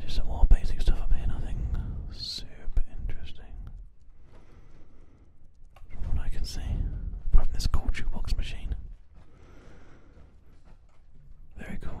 Just some more basic stuff up here, nothing super interesting. From what I can see, from this cool jukebox machine. Very cool.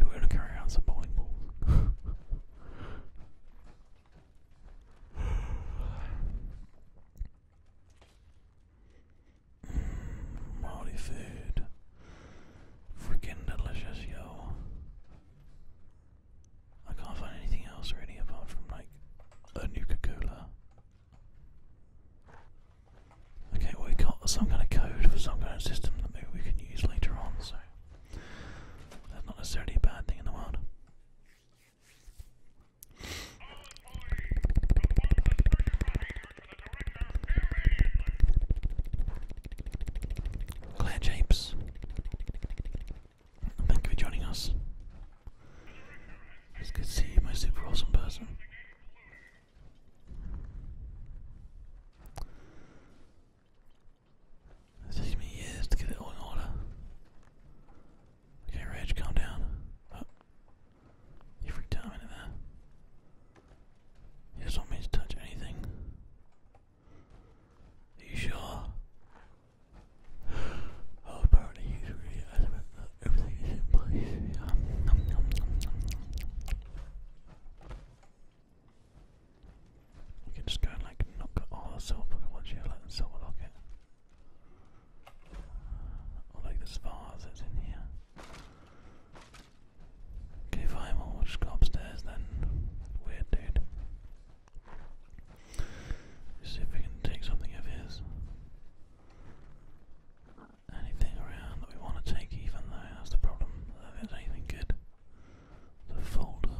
We're gonna carry around some bowling balls. mm, food. Freaking delicious, yo. I can't find anything else really apart from like a Nuka Cola. Okay, well we got some kind of code for some kind of system that maybe we can use later on, so that's not necessarily a bad thing in the world. Claire Japes. Thank you for joining us. It's good to see you, my super awesome person. It takes me years to get it all in order. Okay, Reg, calm down. Oh. You freaked out a minute He doesn't want me to touch anything. Are you sure? Oh, apparently everything is in place. We can just go and like knock all the silver Pokemon here, like the silver locket. like this vase that's in here. Okay, fine, we'll just go upstairs then. Weird dude. Let's see if we can take something of his. Anything around that we want to take, even though that's the problem. If there's anything good, the folder.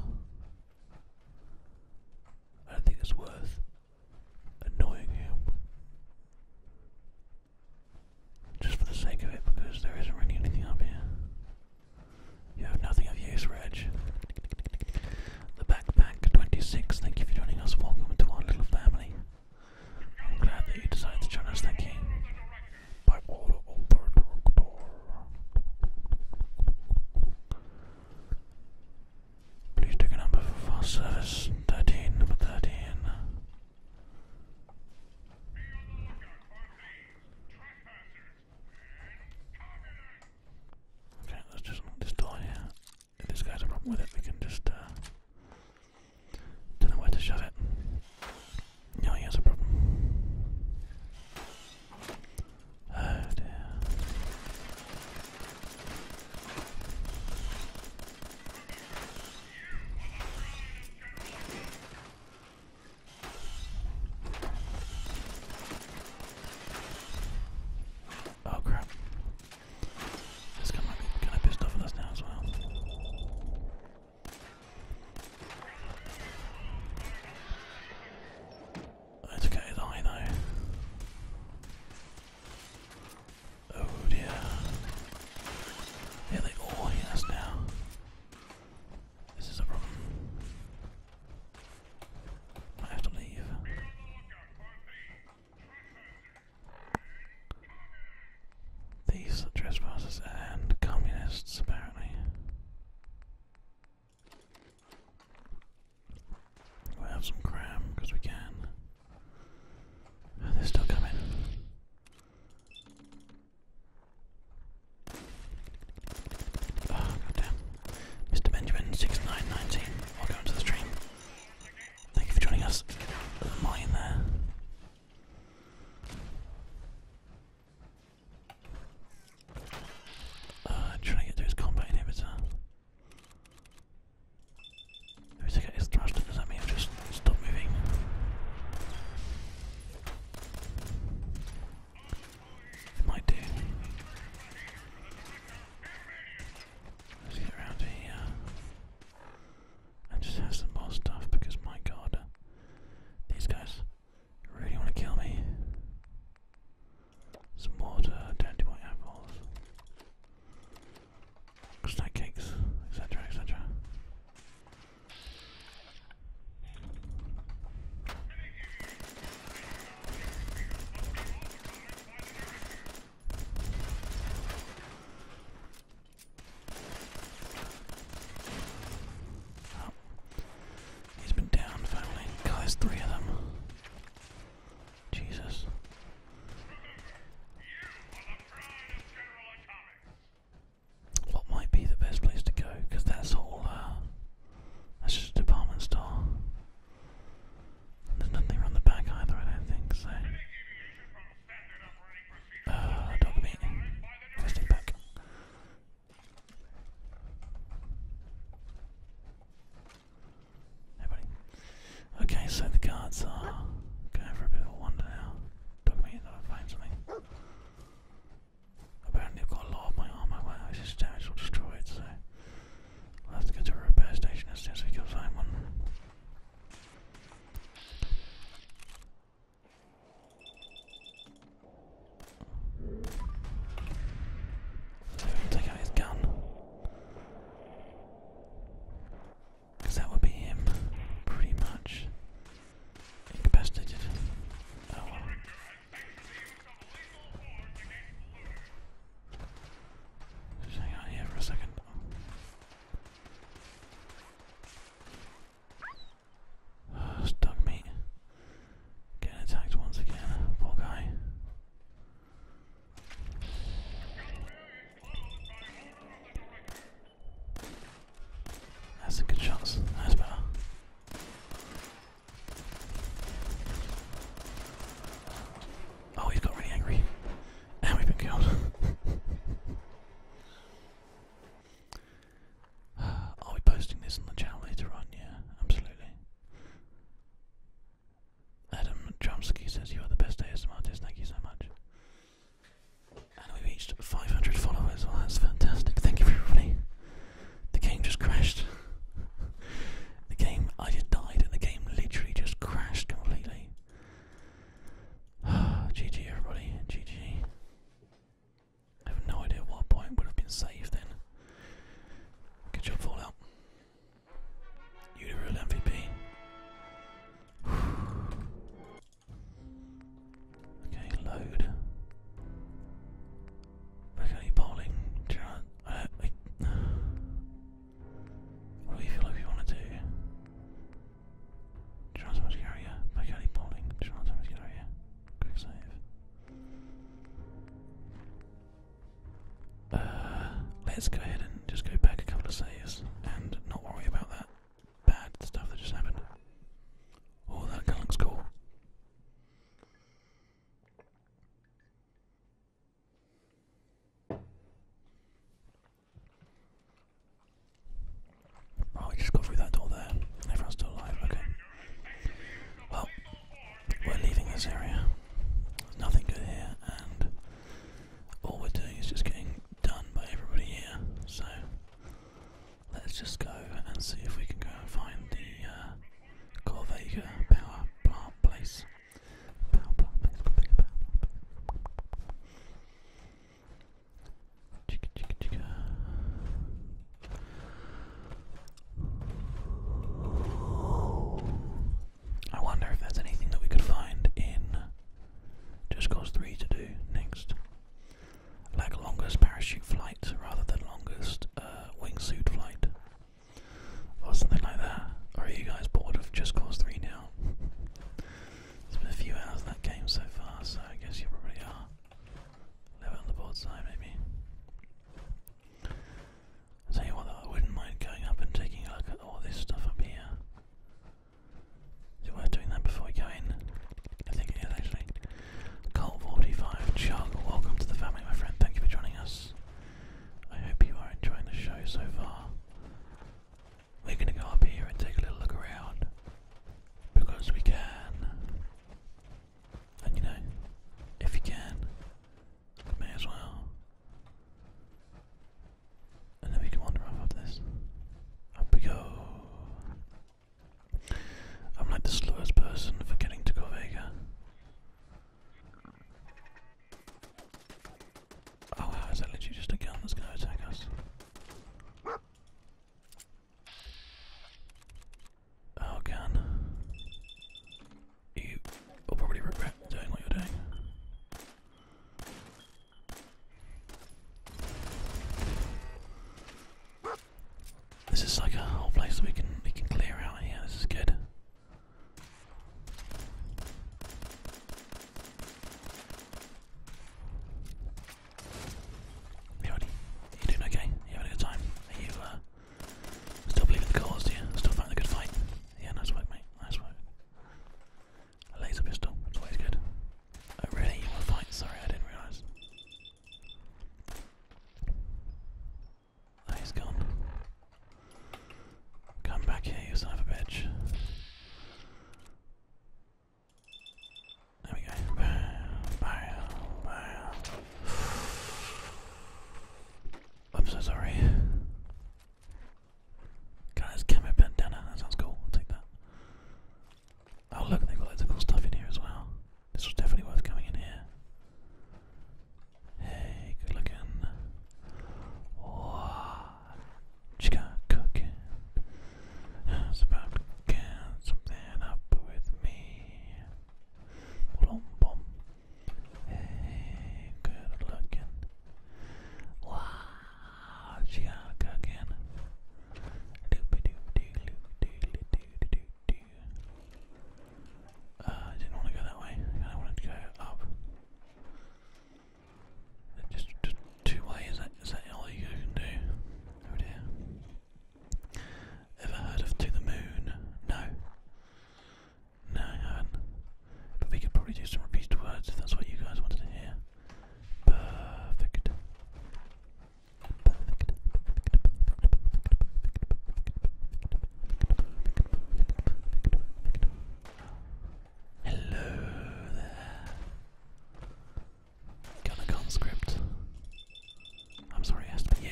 I don't think it's worth annoying him. Just for the sake of it, because there isn't really anything up here. You have nothing of use, Reg. The Backpack 26, thank you for joining us. Welcome to our little family. I'm glad that you decided to join us, thank you. By order of the doctor. Please take number for fast service 13, number 13. Okay, let's just lock this If this guy's a problem with it, we can just uh, don't know where to shove it. No, he has a problem. Oh dear. Oh crap. This guy pissed off at us now as well. Let's get his eye though. Oh dear. Yeah, they all hear us now. This is a problem. I have to leave. These trespassers and communists, apparently. we have some cram because we can. they're still coming. Oh, goddamn. Mr. Benjamin6919, welcome to the stream. Thank you for joining us. mine there. Uh, trying to get to his combat inhibitor. If he's get does that mean he just stop moving? It might do. Let's get around here and just have some more stuff because my god, these guys really want to kill me. Some water, dirty white apples, snack cakes, etc. etc. Oh. He's been down finally. God, there's three of them. Jesus. What might be the best place to go? Because that's all uh, that's just a department store. There's nothing around the back either, I don't think, so. Uh, dog meat. Let's take back. Hey, buddy. Okay, so the guards are going for a bit of a wander now. Dog meat, I'll find something. Apparently I've got a lot of my armor, but I just damaged or destroyed, so I'll have to go to a repair station as soon as we can find one. So take out his gun. Because that would be him, pretty much. Incapacitated. Oh well hang on here for a second. stuck me. Getting attacked once again. Poor guy. That's a good shot. That's better. Oh, he's got really angry. And we've been killed. Are we posting this on the channel later on? Yeah, absolutely. Adam Chomsky says you are the best ASMR artist, thank you so much. And we reached 500 followers, that's fantastic, thank you everybody. The game just crashed. the game, I just died, and the game literally just crashed completely. GG, everybody. GG. I have no idea what point would have been saved then. Good job, Fallout. You're the real MVP. okay, load. Regularly bowling, Gerard. Uh, what do you feel like we want to do? Gerard's much carrier. Regularly bowling, Gerard's much carrier. Quick save. Uh, let's go ahead and just go back a couple of saves and not worry about that bad stuff that just happened. Oh, that gun looks cool. Oh, we just got through that door there. Everyone's still alive, okay. Well, we're leaving this area. There's nothing good here, and all we're doing is just getting done by everybody here. So, let's just go and see if we can go and find the uh, Corvega Power Plant Place. Power Plant Place, Power Plant Place. Chicka chicka chicka. I wonder if there's anything that we could find in Just Cause 3 to do next. Like longest parachute flight rather than longest uh, wingsuit flight or something like that. Or are you guys bored of Just Cause 3 now? it's been a few hours of that game so far, so I guess you probably are. Live on the board side, maybe. I'll tell you what, I wouldn't mind going up and taking a look at all this stuff up here. Is it worth doing that before we go in? I think it is actually. Colt45, Chug, welcome to the family, my friend. Thank you for joining us. I hope you are enjoying the show so far. We're going to go up here and take a little look around because we can. And you know, if you can, you may as well. And then we can wander off up this. Up we go. I'm like the slowest person for getting to Corvega. Oh how is is that literally just a gun that's gonna attack us? Oh gun. You will probably regret doing what you're doing. This is like a whole place that we can we can clear out here. This is good. You You doing okay? You having a good time? you uh, still believing the cause? you still fighting the good fight? Yeah, nice work, mate. Nice work. A laser pistol. That's always good. Oh really? You want to fight? Sorry, I didn't realise. Ah, he's gone. Come back here, you son of a bitch. There we go. I'm so sorry. Guys, camo bandana, that sounds cool. I'll take that. Oh look, they've got loads of cool stuff in here as well. This was definitely worth coming in here. Hey, good looking. Oh, chica cooking. It's about to get something up with me. Blum, bum. Hey, good looking. Wow, chica cooking. Doopy doop doo loop doo doo uh, I didn't want to go that way. I wanted to go up. Just, two ways. Is that all you can do? Oh Ever heard of To the Moon? No. No, But we could probably do some repeated words if that's what you guys wanted to hear. Perfect. Perfect. Hello there. Gunner conscript. I'm sorry, it has to you.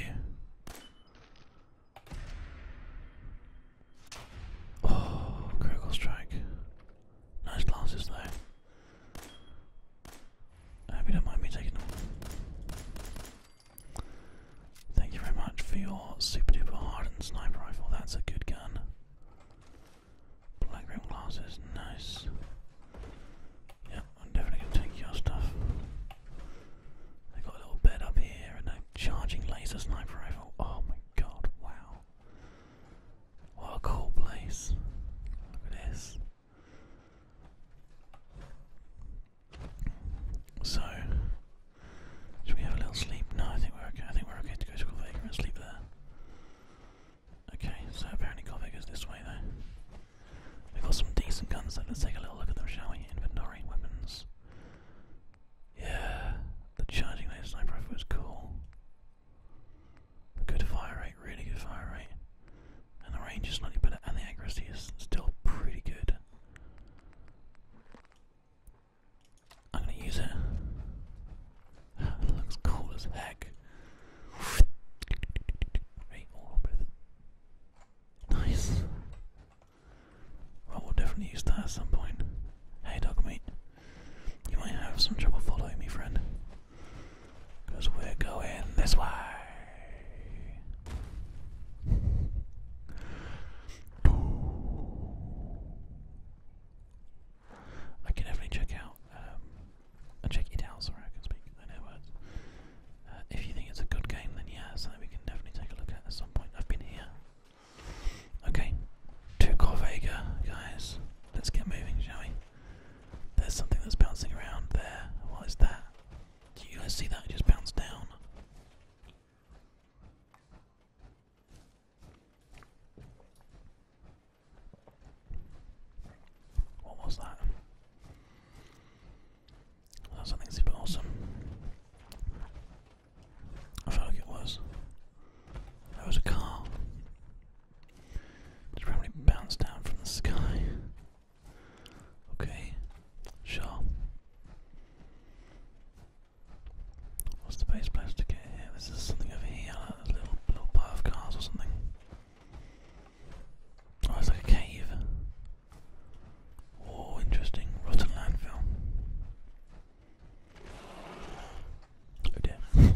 Oh, critical strike. Nice glasses though. hope you don't mind me taking them. Thank you very much for your super duper hardened sniper rifle. That's a good gun. Black rim glasses, nice. Yep, I'm definitely gonna take your stuff. They got a little bed up here and a charging laser sniper rifle. Oh my god, wow. What a cool place. Look at this. So, should we have a little sleep? No, I think we're okay. I think we're okay to go to Corvega and sleep there. Okay, so apparently Corvega's this way though. We've got some decent guns Let's take a little look at them, shall we? Inventory, weapons. Yeah, the charging laser sniper rifle was cool. Good fire rate, really good fire rate. And the range is slightly better, and the accuracy is still pretty good. I'm gonna use it. looks cool as heck. Nice. Well, will definitely use that at some point. Hey, dog mate. You might have some trouble following me, friend. Because we're going this way. I can definitely check out um, and check it I can speak in no words. if you think it's a good game, then yeah, something we can definitely take a look at at some point. I've been here. Okay, to Corvega, guys. Let's get moving, shall we? There's something that's bouncing around there. What is that? Do you guys see that? just bounced down. What was that? That was something super awesome. I felt like it was. That was a car. It's probably bounced down from the sky. Okay, sure. What's the best place to get here? This is something over here, a little, little pile of cars or something. Oh, it's like a cave. Oh, interesting. Rotten landfill. Oh dear.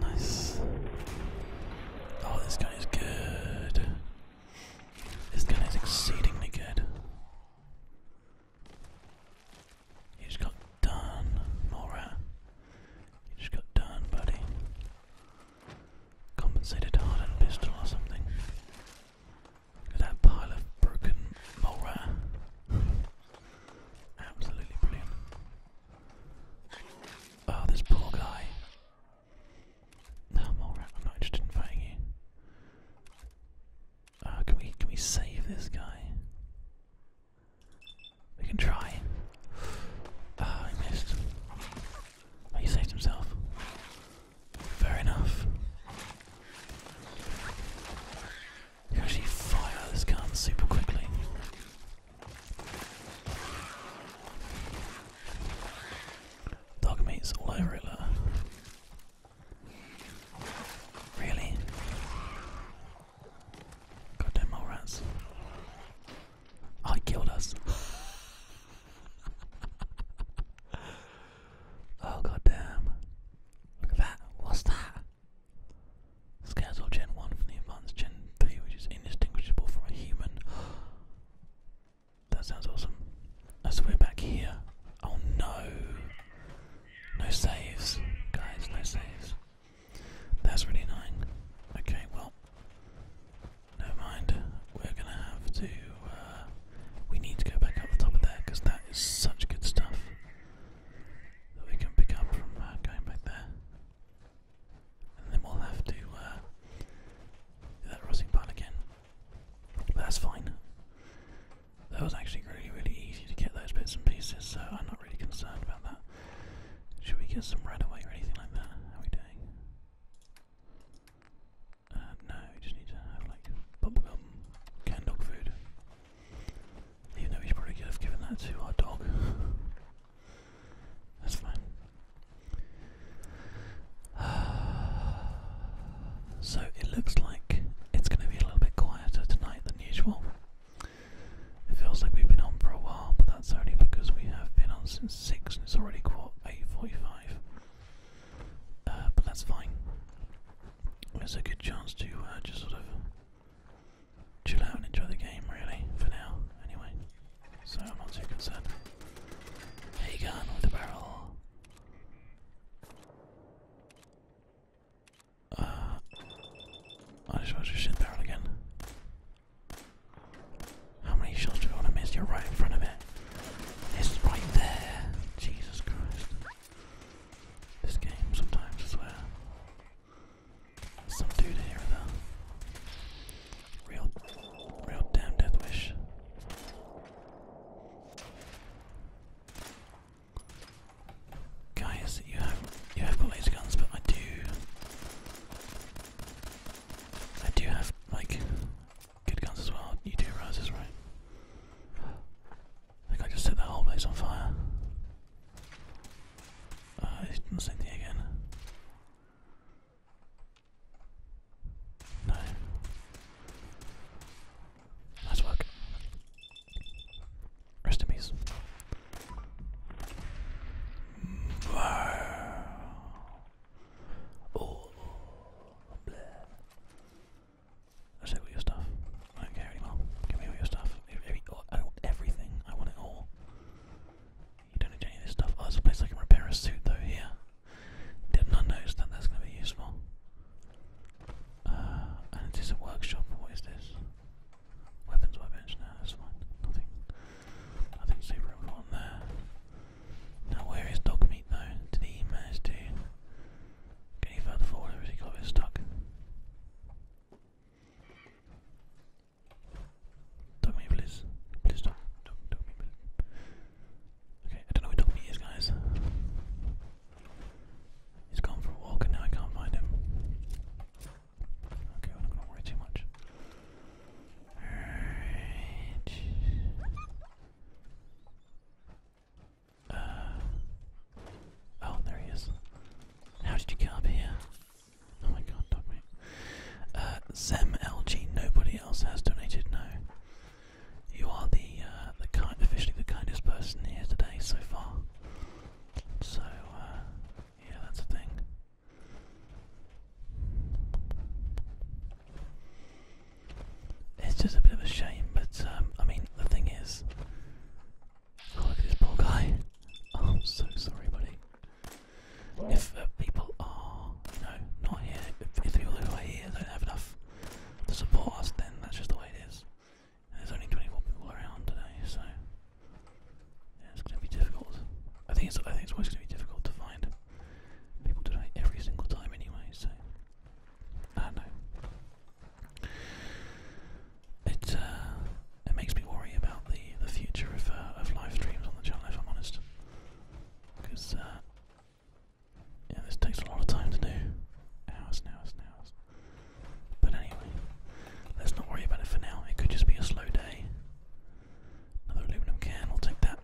Nice. Oh, this guy is good. This guy is exceedingly good. You just got done, Mora. You just got done, buddy. Compensated hardened pistol or something. Look at that pile of broken Mora. Absolutely brilliant. Oh, this poor guy. No, I'm not interested in fighting you. Uh, can we can we save this guy? We can try. Ah, oh, missed. he saved himself. Fair enough. You actually fire this gun super quickly. Dog meat's all Really? Goddamn mole rats. Oh, killed us. oh, goddamn. Look at that. What's that? Scarecrow Gen 1 from the Advanced Gen 3, which is indistinguishable from a human. That sounds awesome. That's we're back here. Oh no! No saves. Guys, no saves. That's really nine. Okay, well. Never mind. We're gonna have to. Uh, we need to go back up the top of there because that is such good stuff that we can pick from uh, going back there. And then we'll have to uh, do that rusting part again. that's fine. That was actually really, really easy to get those bits and pieces, so I'm not really concerned about that. Should we get some right away or anything like that? How are we doing? Uh, no, we just need to have like bubblegum canned dog food. Even though we should probably could that to our dog. That's fine. So it looks like it's going to be a little bit quieter tonight than usual. It feels like we've been on for a while, but that's only because we have been on since 6 and it's already quarter 8.45. Uh, but that's fine. It's a good chance to uh, just sort of chill out and enjoy the game, really, for now, anyway. So I'm not too concerned. Hey, gun with the barrel. Uh, I just want to shoot barrel again. How many shots do you want to miss? You're right in front of it. It's right there. Jesus Christ. This game sometimes, I swear. Some dude here though. Real, real damn death wish. Guys, you have you have all these guns, but I do I do have like good guns as well. You do rises, right? I think I just set that whole place on fire. Uh, he's work. Rest in peace. Oh, bleh. I said all your stuff. I don't care anymore. Give me all your stuff. Every, every, everything. I want it all. You don't need any of this stuff. Oh, there's a place I can repair a suit though here. Did not notice that that's going to be useful. Uh, and it is a workshop. What is this? Weapons by bench. that's fine. Nothing. Nothing super important there. Now, where is dog meat though? Did he manage to get any further forward or has he got a bit stuck? Talk me, please. Please talk, talk, talk me, please. Okay, I don't know where Doc is, guys. He's gone for a walk and now I can't find him. Okay, I'm not gonna worry too much. Uh, oh, there he is. How did you get up here? Oh my god, dog mate. Uh, LG, nobody else has donated, no. You are the, uh, the kind, officially the kindest person here today so far. So, uh, yeah, that's the thing. It's just a bit of a shame, but um, I mean, the thing is, Oh, look at this poor guy. Oh, I'm so sorry, buddy. If uh, people are, you know, not here, if, if the people who are here don't have enough to support us, then that's just the way it is. there's only 24 people around today, so yeah, it's going to be difficult. I think it's, I think it's always going to be difficult to find people today every single time, anyway. So I don't know it uh, it makes me worry about the the future of uh, of live streams on the channel. If I'm honest, because uh, yeah, this takes a lot of time to do. Hours hours hours. But anyway, let's not worry about it for now. It could just be a slow day. Another aluminum can. We'll take that.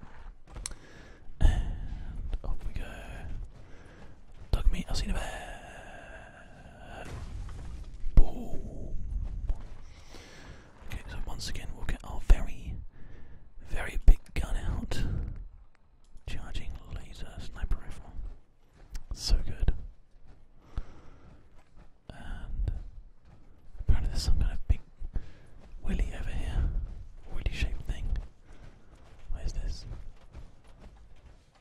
And up we go. Duck meat. I've seen bear. Okay, so once again we'll get our very, very big gun out. Charging laser sniper rifle. So good. apparently there's some kind of big willy over here. Willy shaped thing. Where's this?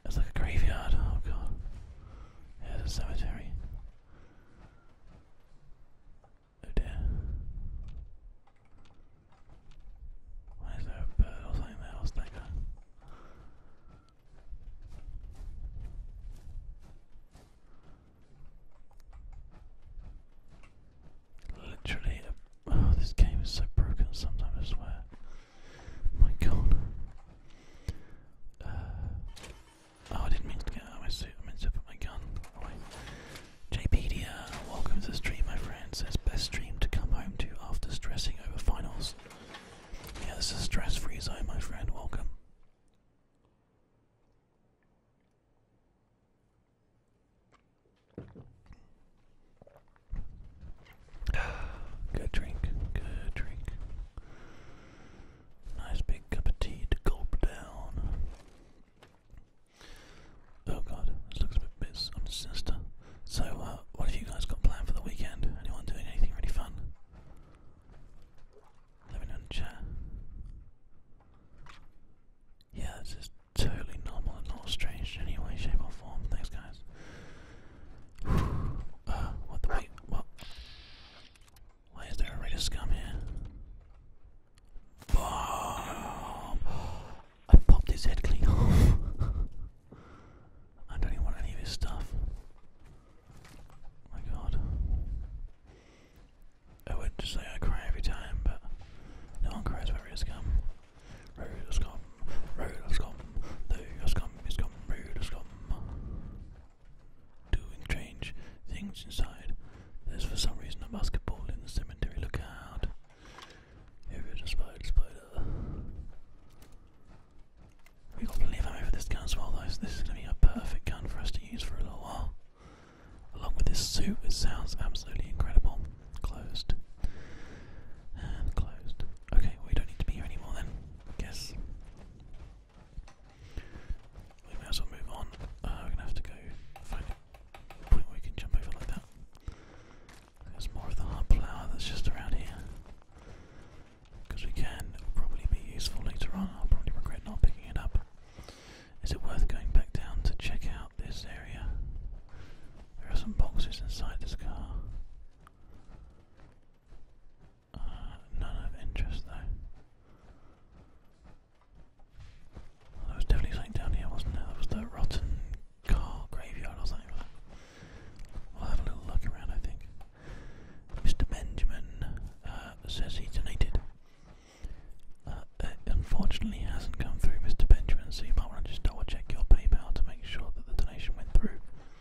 It's like a graveyard. Oh god. Here's a cemetery. Oh dear. Why is there a bird or something there? What's that guy? Literally, oh, this game is so broken sometimes, I swear. My god. Uh, Oh, I didn't mean to get my suit. I meant to put my gun away. JPedia, welcome to the stream, my friend. Says best stream to come home to after stressing over finals. Yeah, this is a stress-free zone, my friend. Welcome. Good drink, good drink. Nice big cup of tea to gulp down. Oh god, this looks a bit, bit So, uh, what have you guys got planned for the weekend? Anyone doing anything really fun? Let me know in the chat. Yeah, this is totally normal and not strange in any way, shape, or form. Thanks, guys. Uh, what the What? Why is there a ray scum here? Bomb! I popped his head clean off. I don't even want any of his stuff. my god. I would just say I cry every time, but no one cries about ray scum. Ray scum, ray scum, the scum is scum doing strange things inside. There's for some reason a basketball in the cemetery. Look out! Here is a spider, spider. We got plenty of ammo for this gun as well, though. So this is going to be a perfect gun for us to use for a little while. Along with this suit, it sounds absolutely incredible. Closed and closed. Okay, we don't need to be here anymore then. I we may as well move on. Uh, we're gonna have to go find a point where we can jump over like that. There's more of the hard flower that's just around here. Because we can, it'll probably be useful later on. I'll probably regret not picking it up. Is it worth going back down to check out this area? There are some boxes inside this car none of interest though. Well, was definitely something down here, wasn't there? That was the rotten car graveyard or something. We'll have a little look around, I think. Mr. Benjamin uh, says he donated. Uh, it unfortunately hasn't come through, Mr. Benjamin, so you might want to just double check your PayPal to make sure that the donation went through.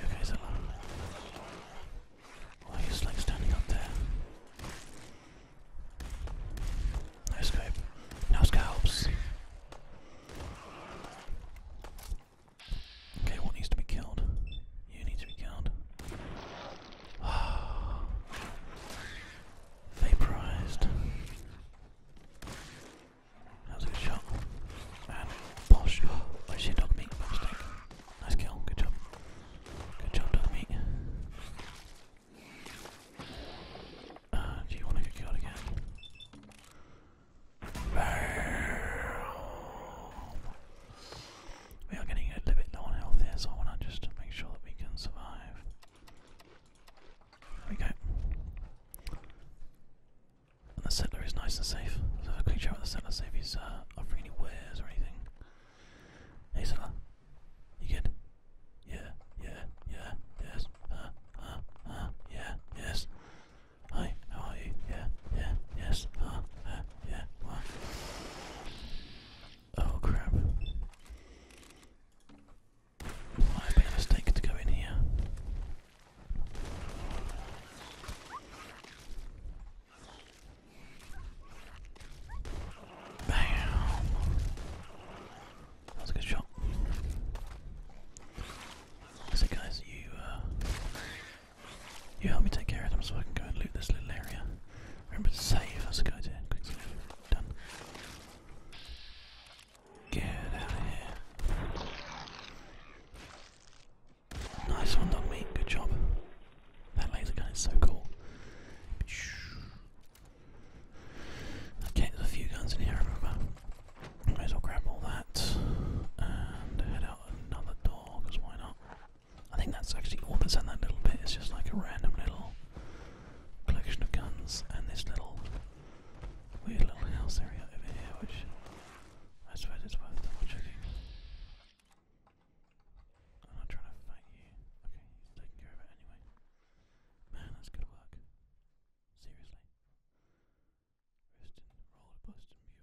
You guys alone. Why oh, he's like standing up there? Nice scope. No scalps. Okay, what needs to be killed? You need to be killed. Vaporized. That was a good shot. And posh. Oh shit, dog meat. Nice kill. Good job. Good job, dog meat. Uh, do you want to get killed again? We are getting a little bit low on health here, so I want to just make sure that we can survive. There we go. And the settler is nice and safe. Let's have a quick chat with the settler, see if he's uh, offering any wares or anything. Hey settler, you good? Yeah, yeah, yeah, yes, uh, uh, uh yeah, yes. Hi, how are you? Yeah, yeah, yes, uh, uh yeah, wow. Oh crap. Might have a mistake to go in here. That's a good shot. So guys, you uh, you help me take care of them so I can go and loot this little area. Remember to save, that's a good idea. Quick save. Done. Get out of here. Nice one, dog meat. Good job. That laser gun is so cool. Okay, there's a few guns in here, remember? Might as well grab all that and head out another door, because why not? I think that's actually all that's that little bit. It's just like a random little collection of guns and this little weird little house area over here, which I suppose it's worth double checking. I'm not trying to fight you. Okay, he's taking care of it anyway. Man, that's good work. Seriously. Riston, roll a Boston bugle. Take that.